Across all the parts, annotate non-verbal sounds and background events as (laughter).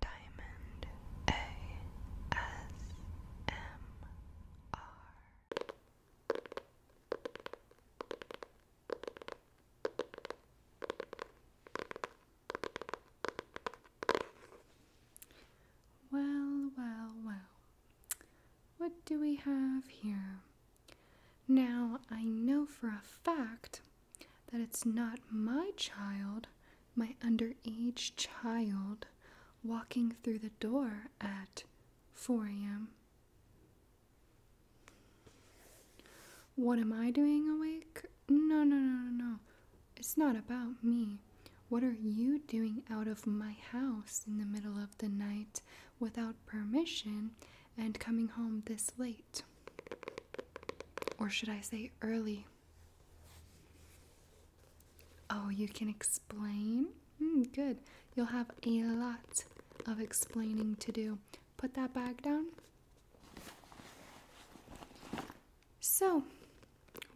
Diamond ASMR. Well, well, well. What do we have here? Now, I know for a fact that it's not my child, my underage child, walking through the door at 4 a.m. What am I doing awake? No, no, no, no, no. It's not about me. What are you doing out of my house in the middle of the night without permission and coming home this late? Or should I say early? Oh, you can explain? Hmm, good. You'll have a lot of explaining to do. Put that bag down. So,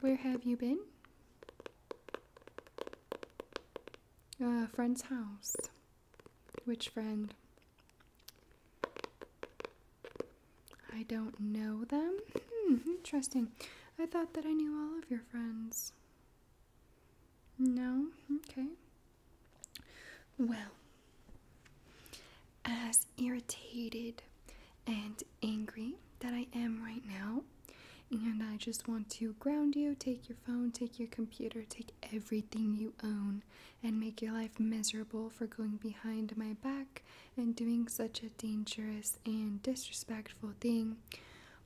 where have you been? A uh, friend's house. Which friend? I don't know them. Hmm, interesting. I thought that I knew all of your friends. No? Okay. Well, as irritated and angry that I am right now, and I just want to ground you, take your phone, take your computer, take everything you own and make your life miserable for going behind my back and doing such a dangerous and disrespectful thing.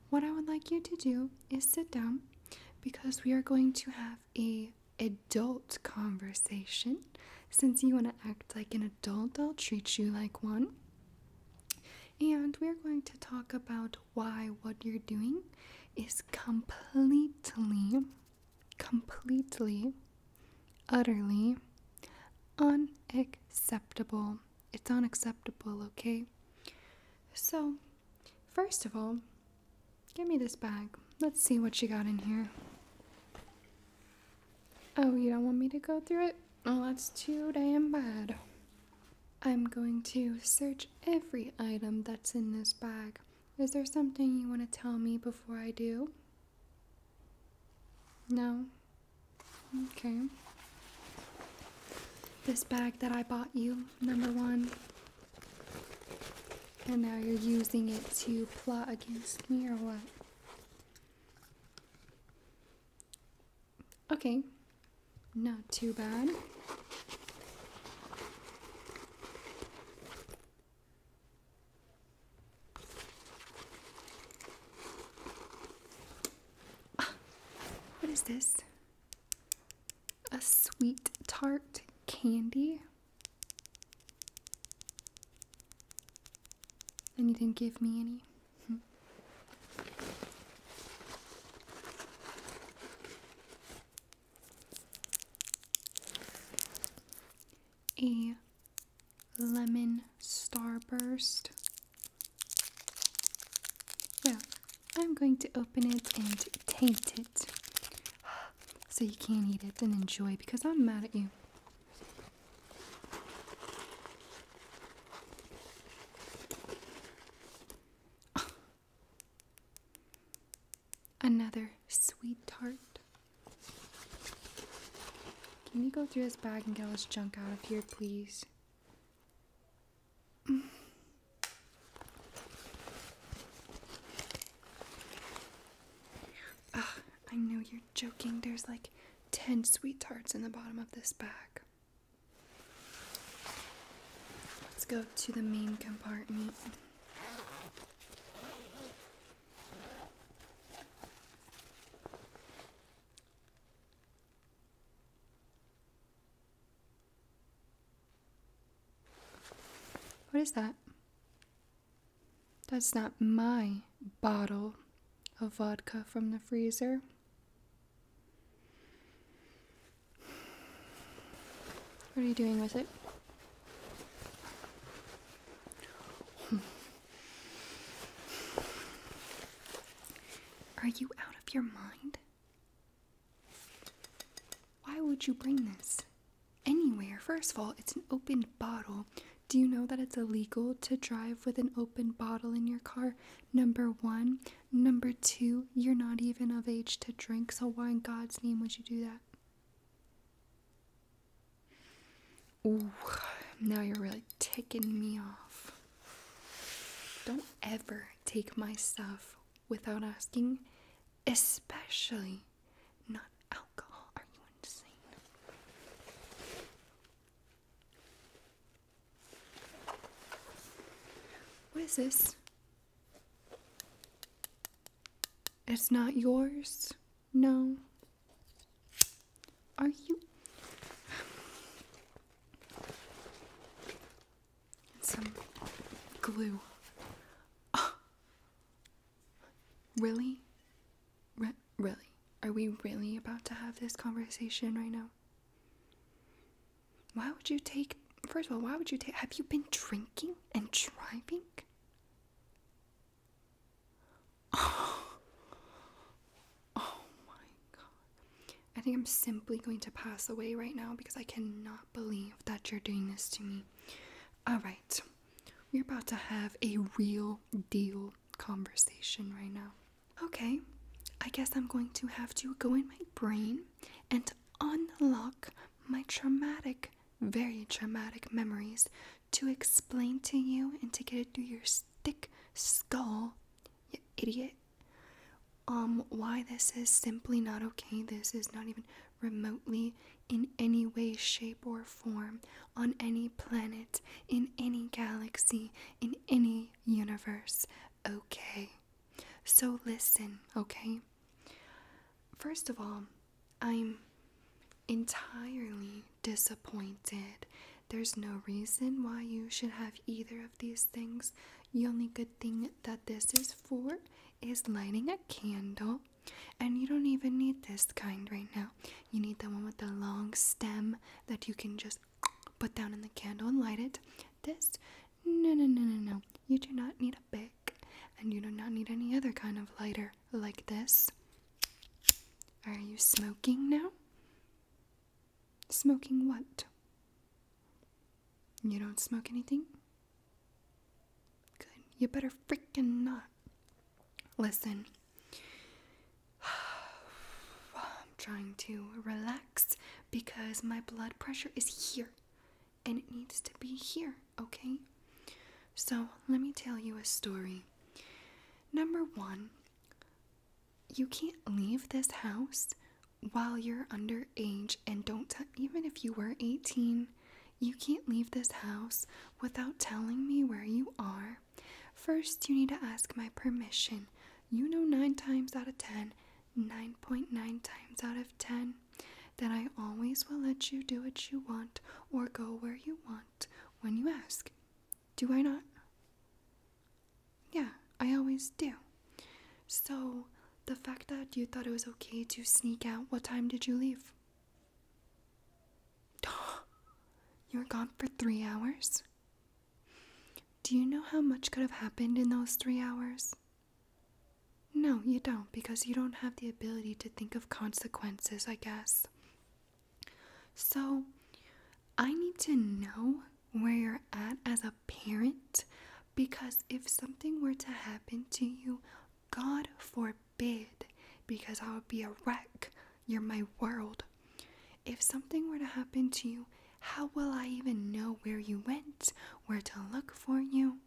What I would like you to do is sit down because we are going to have a adult conversation. Since you want to act like an adult, I'll treat you like one. And we're going to talk about why what you're doing is completely completely, utterly unacceptable. It's unacceptable, okay? So, first of all, give me this bag. Let's see what you got in here. Oh, you don't want me to go through it? Well, that's too damn bad. I'm going to search every item that's in this bag. Is there something you want to tell me before I do? No? Okay. This bag that I bought you, number one. And now you're using it to plot against me or what? Okay. Not too bad. Ah, what is this? A sweet tart candy. And you didn't give me any a lemon starburst. Well, I'm going to open it and taste it so you can eat it and enjoy because I'm mad at you. Another sweet tart. Can you go through this bag and get all this junk out of here, please? Mm. (sighs) I know you're joking. There's like 10 sweet tarts in the bottom of this bag. Let's go to the main compartment. What is that? That's not my bottle of vodka from the freezer. What are you doing with it? (sighs) Are you out of your mind? Why would you bring this anywhere? First of all, it's an open bottle. Do you know that it's illegal to drive with an open bottle in your car? Number one. Number two, you're not even of age to drink, so why in God's name would you do that? Ooh, now you're really ticking me off. Don't ever take my stuff without asking, especially not alcohol. Are you insane? What is this? It's not yours? No. Are you? Some glue. (gasps) Really? really? Are we really about to have this conversation right now? Why would you take, first of all, why would you take, have you been drinking and driving? (laughs) Oh. my god. I think I'm simply going to pass away right now because I cannot believe that you're doing this to me. Alright, we're about to have a real deal conversation right now. Okay, I guess I'm going to have to go in my brain and unlock my traumatic, very traumatic memories to explain to you and to get it through your thick skull, you idiot. Um, why this is simply not okay. This is not even remotely in any way, shape, or form on any planet, in any galaxy, in any universe. Okay. So listen, okay? First of all, I'm entirely disappointed. There's no reason why you should have either of these things. The only good thing that this is for is lighting a candle. And you don't even need this kind right now. You need the one with the long stem that you can just put down in the candle and light it. This, no, no, no, no, no. You do not need a big and you do not need any other kind of lighter like this. Are you smoking now? Smoking what? You don't smoke anything? Good. You better freaking not. Listen. (sighs) I'm trying to relax because my blood pressure is here and it needs to be here, okay? So, let me tell you a story. Number one, you can't leave this house while you're underage and don't even if you were 18 you can't leave this house without telling me where you are first you need to ask my permission you know 9 times out of ten, nine point nine times out of 10 that I always will let you do what you want or go where you want when you ask. Do I not? Yeah, I always do. So, the fact that you thought it was okay to sneak out, what time did you leave? (gasps) you were gone for three hours? Do you know how much could have happened in those three hours? No, you don't, because you don't have the ability to think of consequences, I guess. So, I need to know where you're at as a parent because if something were to happen to you, God forbid, because I would be a wreck. You're my world. If something were to happen to you, how will I even know where you went, where to look for you?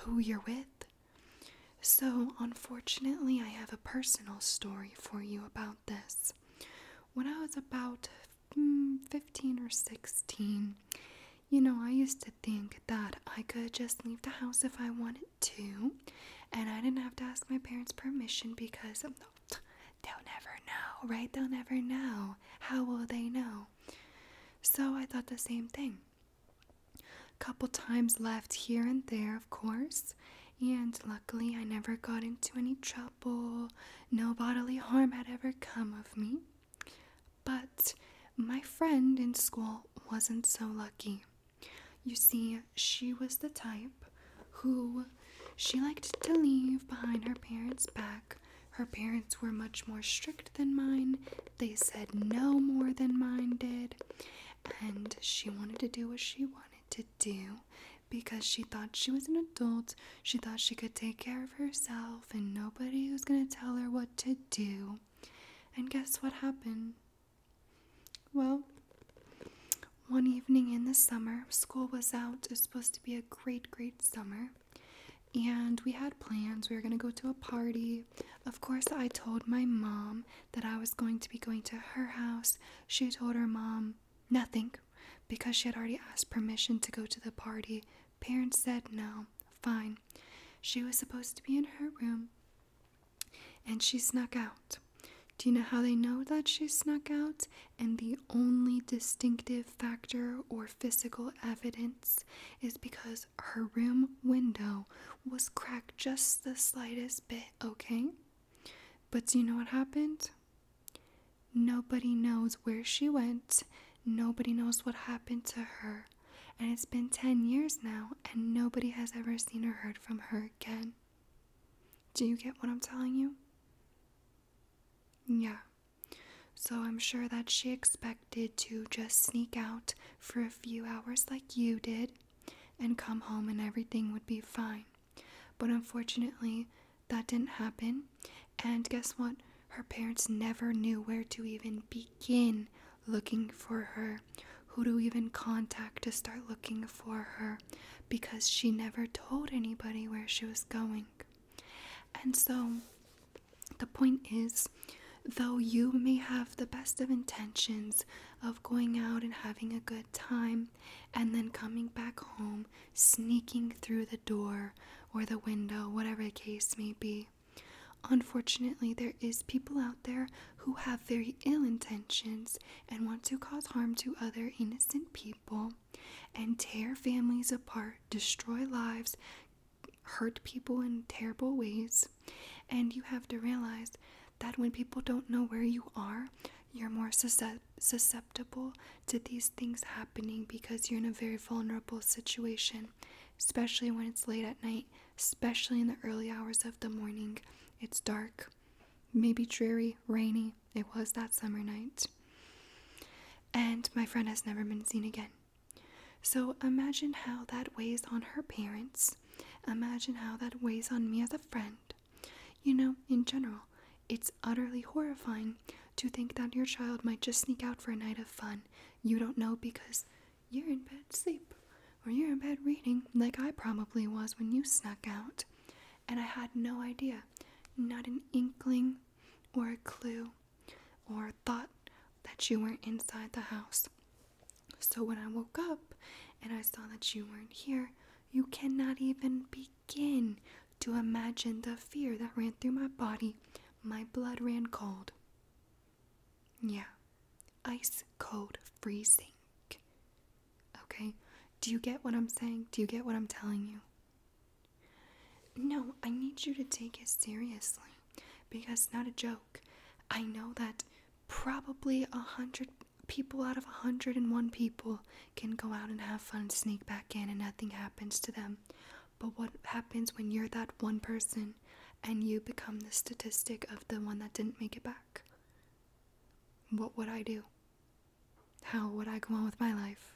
who you're with. So, unfortunately, I have a personal story for you about this. When I was about mm, 15 or 16, you know, I used to think that I could just leave the house if I wanted to, and I didn't have to ask my parents' permission because they'll never know, right? They'll never know. How will they know? So I thought the same thing. A Couple times left here and there, of course, and luckily I never got into any trouble. No bodily harm had ever come of me. But my friend in school wasn't so lucky. You see, she was the type who she liked to leave behind her parents' back her parents were much more strict than mine. They said no more than mine did. And she wanted to do what she wanted to do because she thought she was an adult. She thought she could take care of herself and nobody was going to tell her what to do. And guess what happened? Well, one evening in the summer, school was out. It was supposed to be a great, great summer and we had plans. We were going to go to a party. Of course, I told my mom that I was going to be going to her house. She told her mom nothing because she had already asked permission to go to the party. Parents said no. Fine. She was supposed to be in her room and she snuck out. Do you know how they know that she snuck out? And the only distinctive factor or physical evidence is because her room window was cracked just the slightest bit, okay? But do you know what happened? Nobody knows where she went, nobody knows what happened to her, and it's been 10 years now, and nobody has ever seen or heard from her again. Do you get what I'm telling you? Yeah, so I'm sure that she expected to just sneak out for a few hours like you did and come home and everything would be fine. But unfortunately, that didn't happen. And guess what? Her parents never knew where to even begin looking for her, who to even contact to start looking for her, because she never told anybody where she was going. And so the point is, though you may have the best of intentions of going out and having a good time and then coming back home, sneaking through the door or the window, whatever the case may be. Unfortunately, there is people out there who have very ill intentions and want to cause harm to other innocent people and tear families apart, destroy lives, hurt people in terrible ways. And you have to realize that when people don't know where you are, you're more susceptible to these things happening because you're in a very vulnerable situation, especially when it's late at night, especially in the early hours of the morning. It's dark, maybe dreary, rainy, it was that summer night. And my friend has never been seen again. So imagine how that weighs on her parents. Imagine how that weighs on me as a friend. You know, in general, it's utterly horrifying to think that your child might just sneak out for a night of fun. You don't know because you're in bed sleep or you're in bed reading, like I probably was when you snuck out. And I had no idea, not an inkling or a clue or thought that you weren't inside the house. So when I woke up and I saw that you weren't here, you cannot even begin to imagine the fear that ran through my body. My blood ran cold. Yeah, ice cold freezing. Okay, do you get what I'm saying? Do you get what I'm telling you? No, I need you to take it seriously because it's not a joke. I know that probably a hundred people out of a hundred and one people can go out and have fun, sneak back in, and nothing happens to them. But what happens when you're that one person and you become the statistic of the one that didn't make it back? What would I do? how would I go on with my life?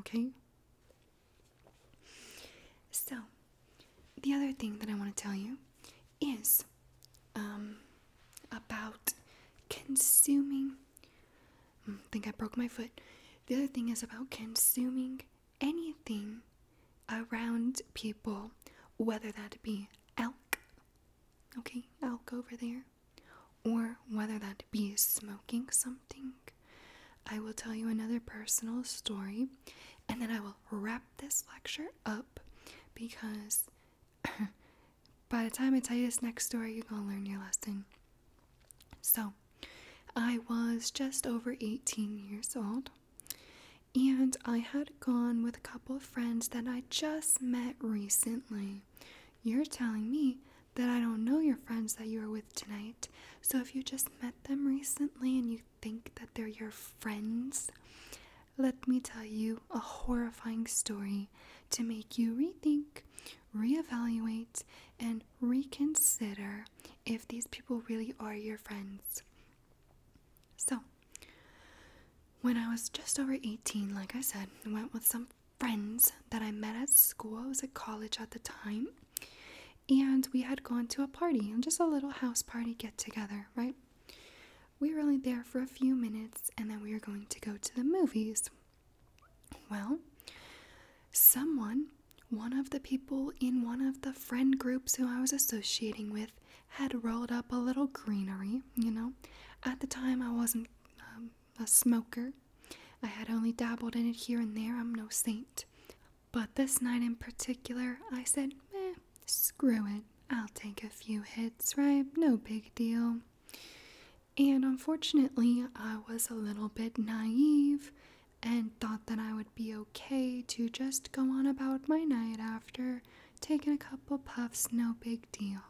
Okay? So, the other thing that I want to tell you is um, about consuming. Mm, think I broke my foot. The other thing is about consuming anything around people, whether that be elk. Okay, elk over there or whether that be smoking something, I will tell you another personal story and then I will wrap this lecture up because (laughs) by the time I tell you this next story, you're gonna learn your lesson. So, I was just over 18 years old and I had gone with a couple of friends that I just met recently you're telling me that I don't know your friends that you are with tonight. So if you just met them recently and you think that they're your friends, let me tell you a horrifying story to make you rethink, reevaluate, and reconsider if these people really are your friends. So, when I was just over 18, like I said, I went with some friends that I met at school. I was at college at the time. And we had gone to a party, and just a little house party get together, right? We were only there for a few minutes and then we were going to go to the movies. Well, someone, one of the people in one of the friend groups who I was associating with, had rolled up a little greenery, you know. At the time, I wasn't um, a smoker. I had only dabbled in it here and there. I'm no saint. But this night in particular, I said, eh, screw it. I'll take a few hits, right? No big deal. And unfortunately, I was a little bit naive and thought that I would be okay to just go on about my night after taking a couple puffs, no big deal.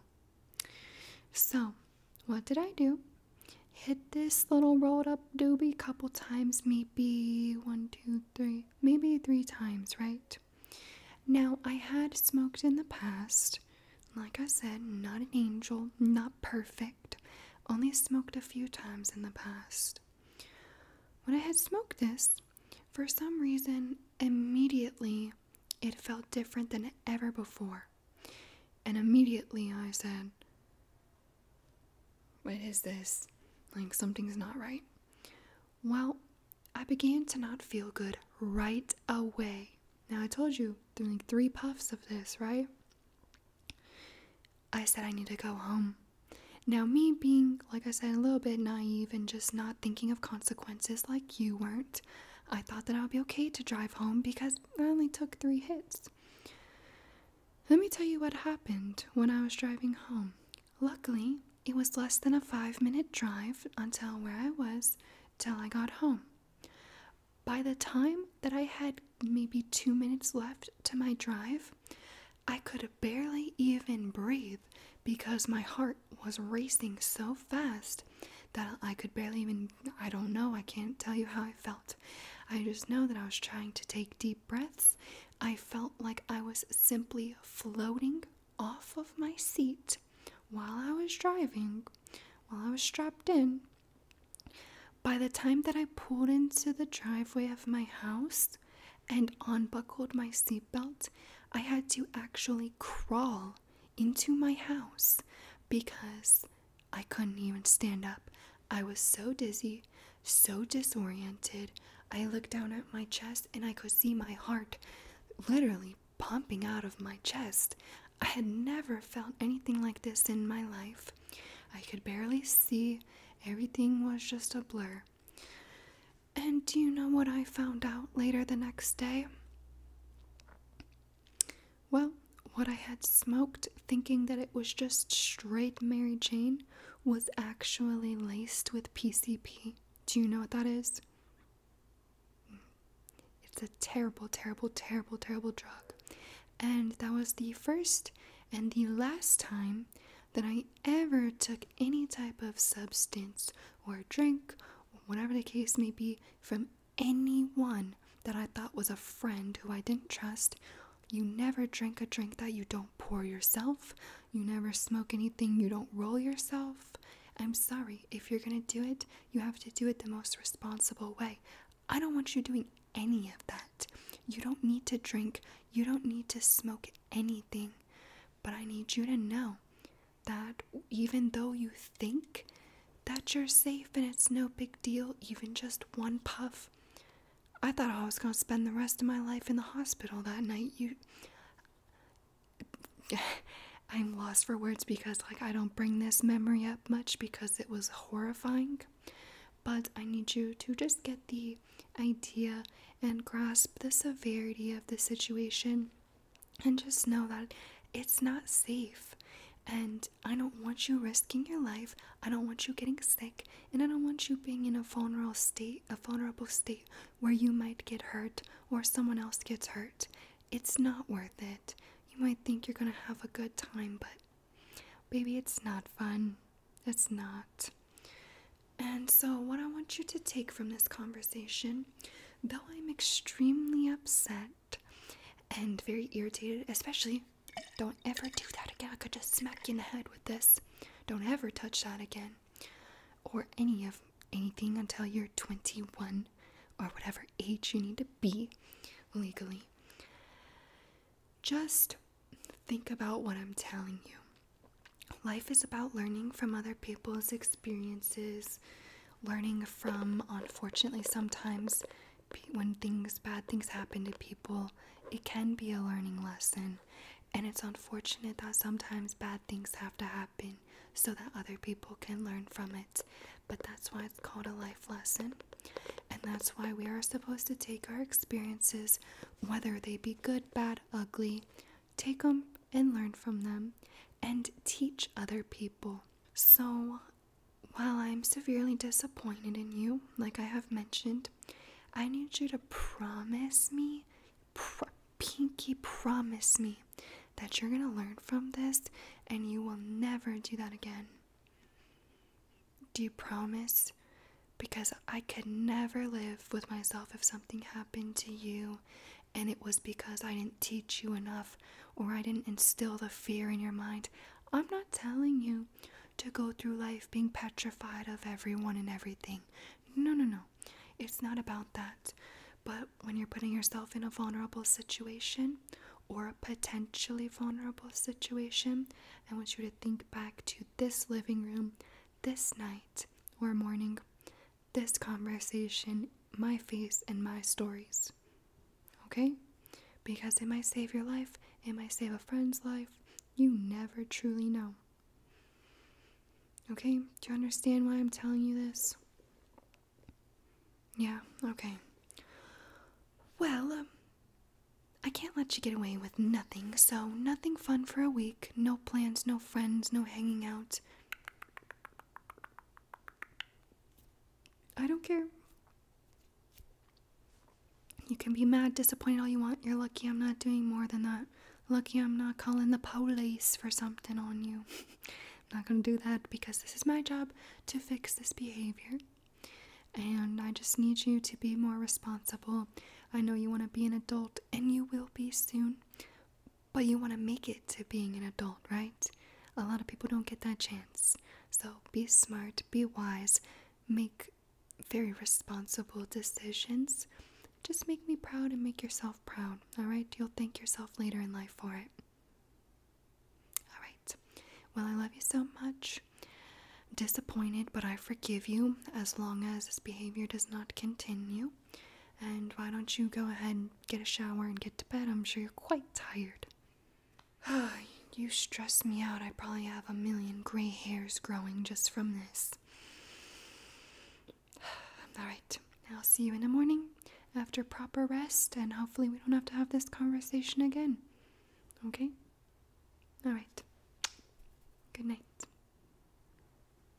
So, what did I do? Hit this little rolled up doobie couple times, maybe one, two, three, maybe three times, right? Now, I had smoked in the past. Like I said, not an angel, not perfect. Only smoked a few times in the past. When I had smoked this, for some reason, immediately it felt different than ever before. And immediately I said, What is this? Like something's not right. Well, I began to not feel good right away. Now, I told you, through like three puffs of this, right? I said I need to go home. Now, me being, like I said, a little bit naive and just not thinking of consequences like you weren't, I thought that I would be okay to drive home because I only took three hits. Let me tell you what happened when I was driving home. Luckily, it was less than a five minute drive until where I was till I got home. By the time that I had maybe two minutes left to my drive, I could barely even breathe because my heart was racing so fast that I could barely even, I don't know, I can't tell you how I felt. I just know that I was trying to take deep breaths. I felt like I was simply floating off of my seat while I was driving, while I was strapped in. By the time that I pulled into the driveway of my house and unbuckled my seatbelt, I had to actually crawl into my house because I couldn't even stand up. I was so dizzy, so disoriented. I looked down at my chest and I could see my heart literally pumping out of my chest. I had never felt anything like this in my life. I could barely see, everything was just a blur. And do you know what I found out later the next day? Well, what I had smoked, thinking that it was just straight Mary Jane, was actually laced with PCP. Do you know what that is? It's a terrible, terrible, terrible, terrible drug. And that was the first and the last time that I ever took any type of substance or drink whatever the case may be, from anyone that I thought was a friend who I didn't trust. You never drink a drink that you don't pour yourself. You never smoke anything you don't roll yourself. I'm sorry, if you're gonna do it, you have to do it the most responsible way. I don't want you doing any of that. You don't need to drink, you don't need to smoke anything. But I need you to know that even though you think that you're safe and it's no big deal, even just one puff. I thought I was going to spend the rest of my life in the hospital that night. You. (laughs) I'm lost for words because, like, I don't bring this memory up much because it was horrifying. But I need you to just get the idea and grasp the severity of the situation and just know that it's not safe. And I don't want you risking your life. I don't want you getting sick, and I don't want you being in a vulnerable state, a vulnerable state where you might get hurt or someone else gets hurt. It's not worth it. You might think you're going to have a good time, but baby, it's not fun. It's not. And so, what I want you to take from this conversation though I'm extremely upset and very irritated, especially don't ever do that again. I could just smack you in the head with this. Don't ever touch that again. Or any of anything until you're 21 or whatever age you need to be legally. Just think about what I'm telling you. Life is about learning from other people's experiences experiences, learning from, unfortunately, sometimes when things, bad things happen to people, it can be a learning lesson. And it's unfortunate that sometimes bad things have to happen so that other people can learn from it. But that's why it's called a life lesson. And that's why we are supposed to take our experiences, whether they be good, bad, ugly, Take them and learn from them and teach other people. So, while I'm severely disappointed in you, like I have mentioned, I need you to promise me, pinky promise me, that you're gonna learn from this and you will never do that again. Do you promise? Because I could never live with myself if something happened to you and it was because I didn't teach you enough or I didn't instill the fear in your mind. I'm not telling you to go through life being petrified of everyone and everything. No, no, no. It's not about that. But when you're putting yourself in a vulnerable situation or a potentially vulnerable situation, I want you to think back to this living room this night or morning this conversation, my face, and my stories. Okay? Because it might save your life, it might save a friend's life. You never truly know. Okay? Do you understand why I'm telling you this? Yeah, okay. Well, um, I can't let you get away with nothing, so nothing fun for a week. No plans, no friends, no hanging out. I don't care. You can be mad, disappointed, all you want. You're lucky I'm not doing more than that. Lucky I'm not calling the police for something on you. I'm (laughs) not gonna do that because this is my job to fix this behavior. And I just need you to be more responsible. I know you wanna be an adult, and you will be soon, but you want to make it to being an adult, right? A lot of people don't get that chance. So be smart, be wise, make very responsible decisions. Just make me proud and make yourself proud, alright? You'll thank yourself later in life for it. Alright. Well, I love you so much. Disappointed, but I forgive you as long as this behavior does not continue. And why don't you go ahead and get a shower and get to bed? I'm sure you're quite tired. (sighs) you stress me out. I probably have a million gray hairs growing just from this. (sighs) Alright, I'll see you in the morning after proper rest, and hopefully, we don't have to have this conversation again. Okay? Alright. Good night.